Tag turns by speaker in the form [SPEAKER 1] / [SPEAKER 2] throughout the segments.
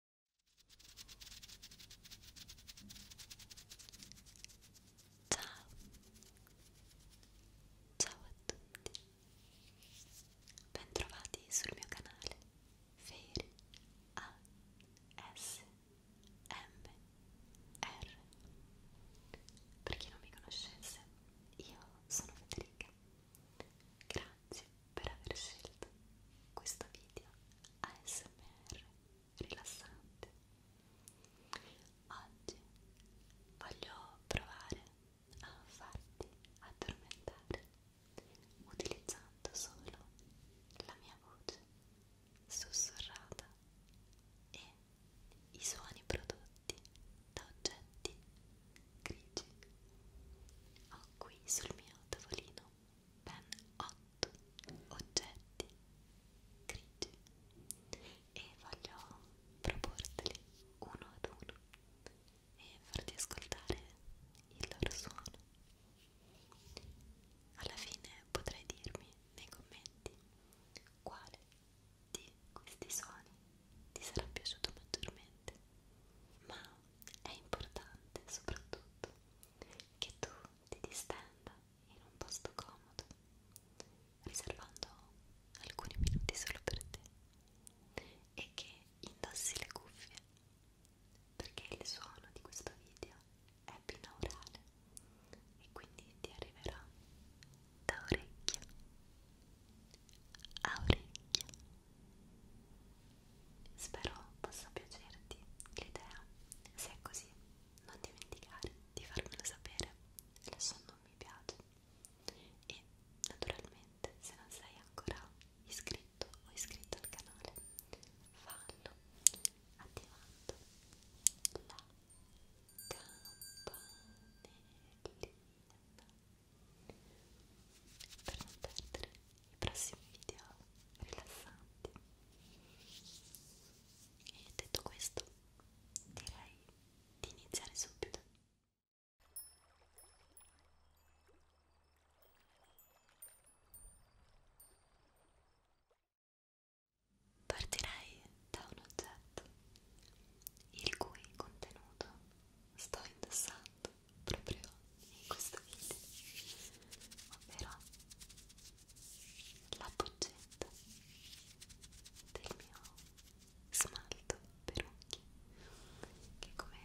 [SPEAKER 1] Ciao, ciao a tutti, bentrovati sul mio canale Feri A S M R. Per chi non mi conoscesse, io sono Federica. Grazie grazie per aver scelto questo video ASMR rilassante. Oggi voglio provare a farti addormentare utilizzando solo la mia voce sussurrata e i suoni prodotti da oggetti grigi. Ho qui sul mio tavolino ben 8 oggetti grigi e voglio proporteli uno ad uno e farti ascoltare il loro suono. Alla fine potrai dirmi nei commenti quale di questi suoni ti sarà piaciuto maggiormente, ma è importante soprattutto che tu ti distenda in un posto comodo, riservando alcuni minuti solo per te e che indossi le cuffie perché il suono di questo video è binaurale e quindi ti arriverà da orecchio a orecchio Spero possa piacerti l'idea. Se è così, non dimenticare di farmelo sapere lasciando un mi piace. E naturalmente, se non sei ancora iscritto o iscritto al canale, fallo attivando la campanellina per non perdere i prossimi video rilassanti e detto questo direi di iniziare subito Partirei da un oggetto il cui contenuto sto indossando proprio in questo video ovvero la boccetta del mio smalto per occhi che come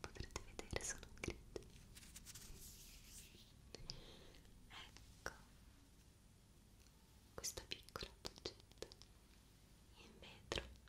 [SPEAKER 1] potrete vedere sono grigie ecco questa piccola boccetta in vetro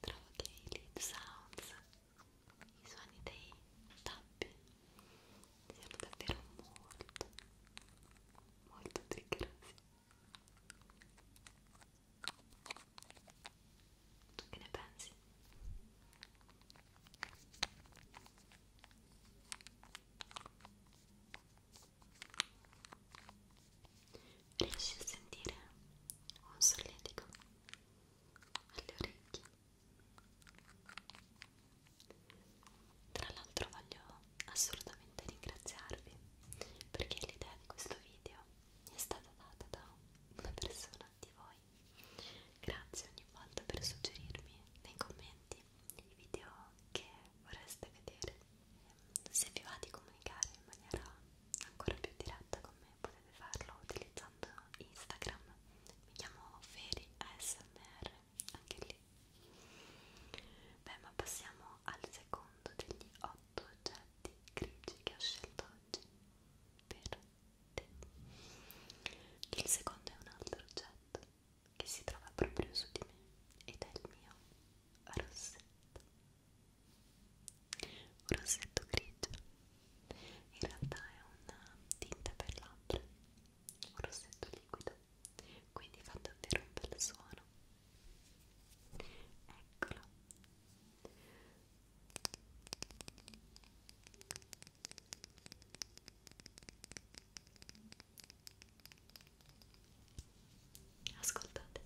[SPEAKER 1] Trovo che i lead sounds, i suoni dei tappi siano davvero molto, molto triggerosi. Tu che ne pensi? Io riesci a sentire un solletico alle orecchie tra l'altro voglio assolutamente ringraziarvi perché l'idea di questo video è stata data da una persona di voi grazie ogni volta per suggerirmi nei commenti i video che vorreste vedere ehm, se vi va di comunicare in maniera ancora più diretta con me potete farlo utilizzando Instagram mi chiamo Feri ASMR anche lì beh ma passiamo al secondo degli otto oggetti grigi che ho scelto oggi per te il secondo è un altro oggetto che si trova proprio su di me ed è il mio rossetto un rossetto grigio in realtà è una tinta per labbra un rossetto liquido quindi fa davvero un bel suono eccolo ascoltate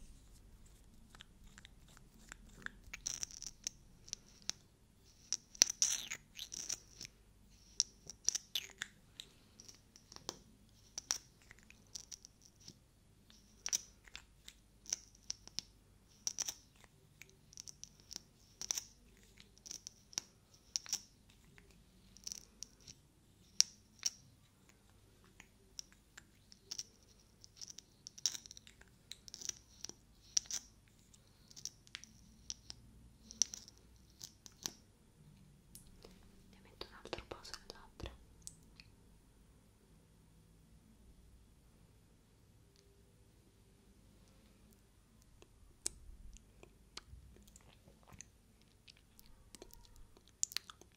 [SPEAKER 1] ne metto un altro po' sulle labbra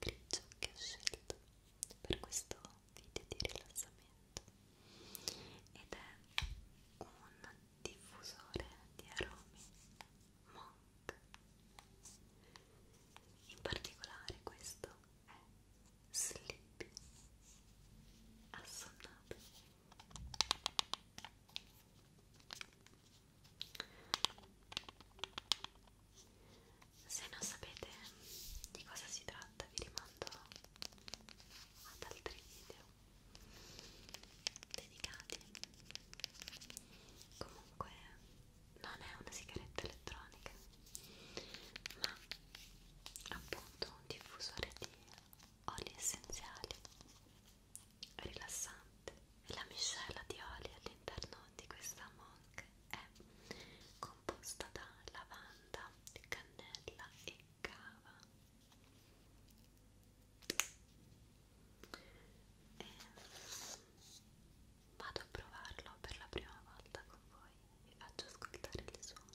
[SPEAKER 1] grigio che ho scelto per questo video di rilassamento ed è un diffusore di aromi Monk in particolare questo è Sleepy Assonnato se non sapete di cosa si tratta vi rimando ad altri video dedicati. Comunque non è una sigaretta elettronica, ma appunto un diffusore di oli essenziali rilassante e la miscela di oli all'interno di questa monk è composta da lavanda, cannella e cava e vado a provarlo per la prima volta con voi vi faccio ascoltare il suono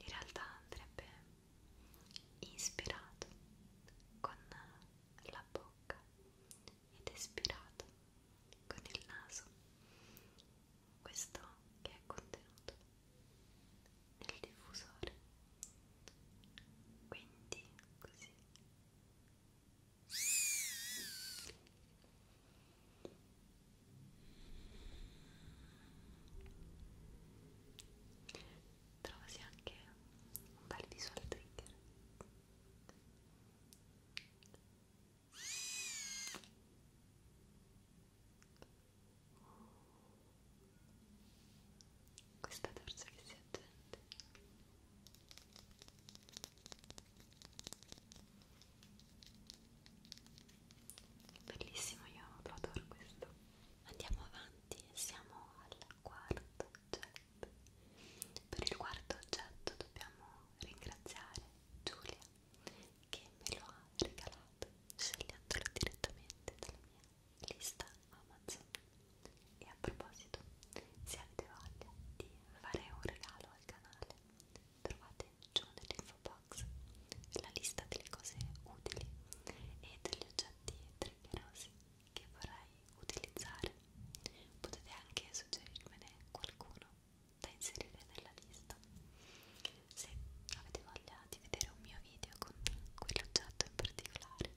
[SPEAKER 1] In realtà andrebbe inspirato con la bocca ed espirato con il naso. Questo che è contenuto nel diffusore. Quindi così Trovasi anche un bel visual trigger questa terza che si aggiunge Bellissimo, io lo adoro questo. Andiamo avanti, siamo al quarto oggetto. Per il quarto oggetto dobbiamo ringraziare Giulia che me lo ha regalato scegliendolo direttamente dalla mia lista Amazon e a proposito, se avete voglia di fare un regalo al canale, trovate giù nell'info box la lista delle cose utili e degli oggetti triggerosi che vorrei utilizzare. Potete anche suggerirmene qualcuno da inserire nella lista. Se avete voglia di vedere un mio video con quell'oggetto in particolare,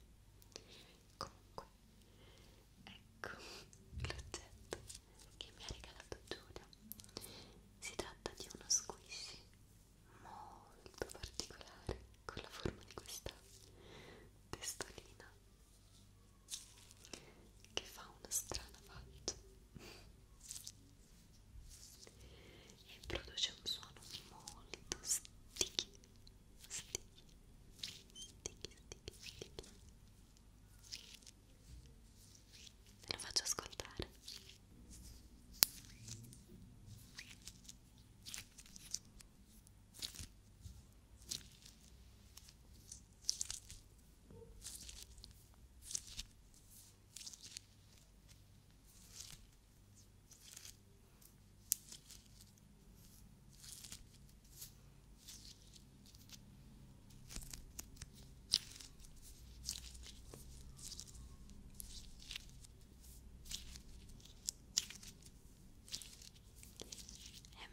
[SPEAKER 1] comunque Ecco l'oggetto che mi ha regalato Giulia. Si tratta di uno squishy molto particolare con la forma di questa testolina che fa una strana faccia e produce un suono molto sticky sticky, sticky, sticky, sticky. Te lo faccio ascoltare. Ecco è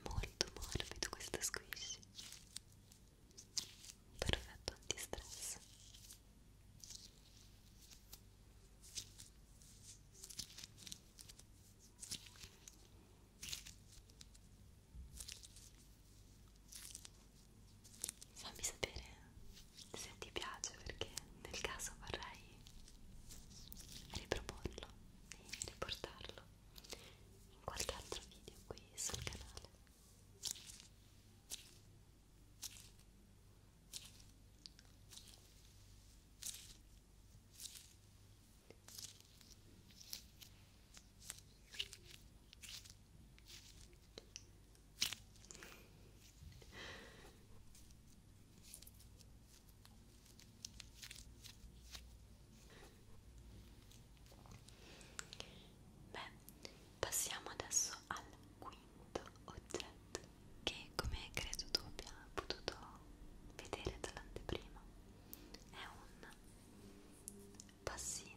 [SPEAKER 1] molto morbido questo squish. Perfetto antistress fammi sapere se ti piace perché nel caso vorrei riproporlo e riportarlo in qualche altro video qui sul canale Beh, passiamo adesso al quinto oggetto che come credo tu abbia potuto vedere dall'anteprima è un passino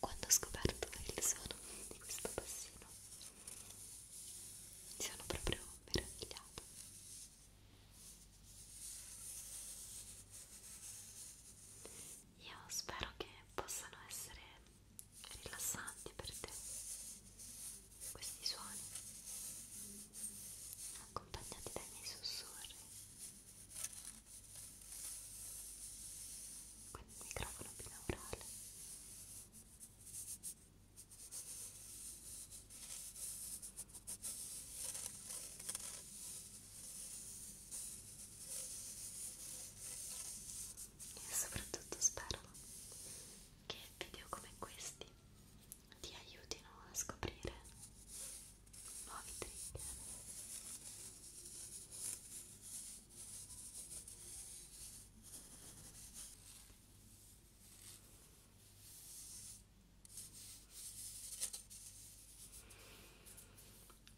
[SPEAKER 1] quando ho scoperto il suono di questo bassino mi sono proprio meravigliata io spero che possano essere rilassanti per te questi suoni accompagnati dai miei sussurri con il microfono binaurale e soprattutto spero che video come questi ti aiutino a scoprire nuovi trigger.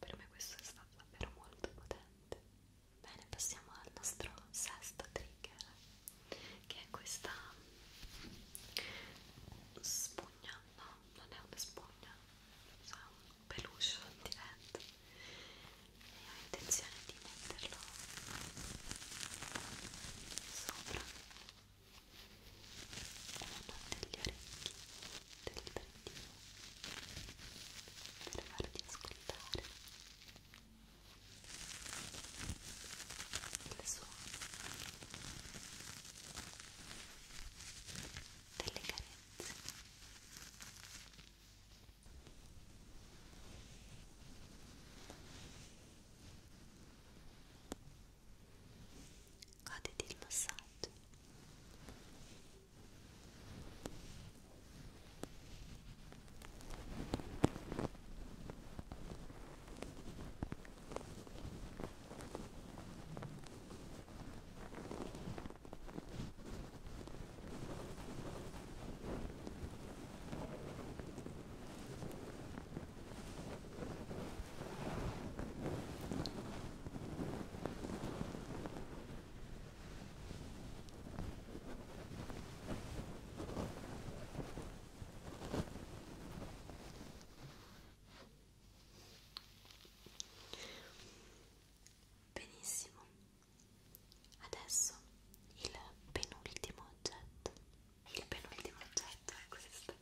[SPEAKER 1] Per me questo è stato davvero molto potente. Bene, passiamo al nostro sesto trigger, che è questa spugna, no, non è una spugna, è un peluche di vento e ho intenzione di metterlo sopra uno degli orecchi del librettino per farti ascoltare il suono delle carezze Goditi il massaggio. Ora Benissimo, Adesso il penultimo oggetto. Il penultimo oggetto è questo.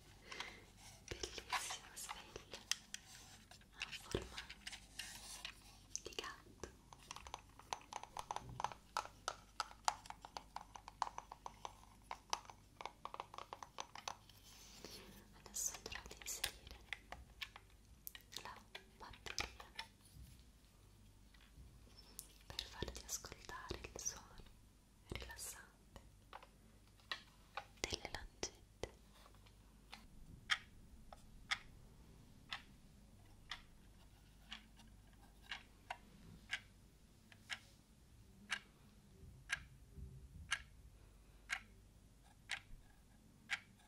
[SPEAKER 1] Bellissima sveglia a forma di gatto. Adesso andrò ad inserire la batteria per farti ascoltare il suono rilassante delle lancette. Ora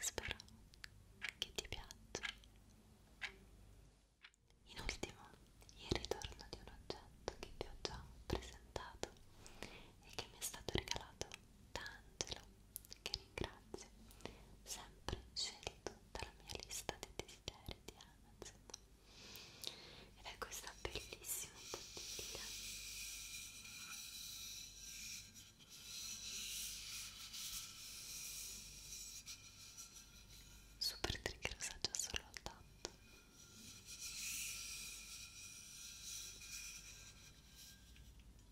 [SPEAKER 1] Spero che ti piaccia. In ultimo, il ritorno di un oggetto che ti ho già presentato e che mi è stato regalato da Angelo che ringrazio, sempre scelto dalla mia lista dei desideri di Amazon. Ed è questa bellissima bottiglia. Super trigger assaggia solo al tatto.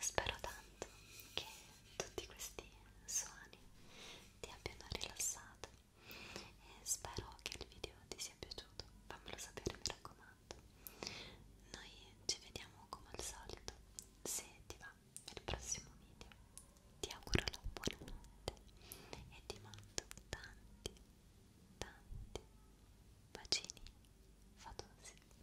[SPEAKER 1] spero tanto che tutti questi suoni ti abbiano rilassato e spero che il video ti sia piaciuto, fammelo sapere mi raccomando. Noi ci vediamo come al solito, se ti va, nel prossimo video. Ti auguro la buonanotte e ti mando tanti, tanti bacini fatosi.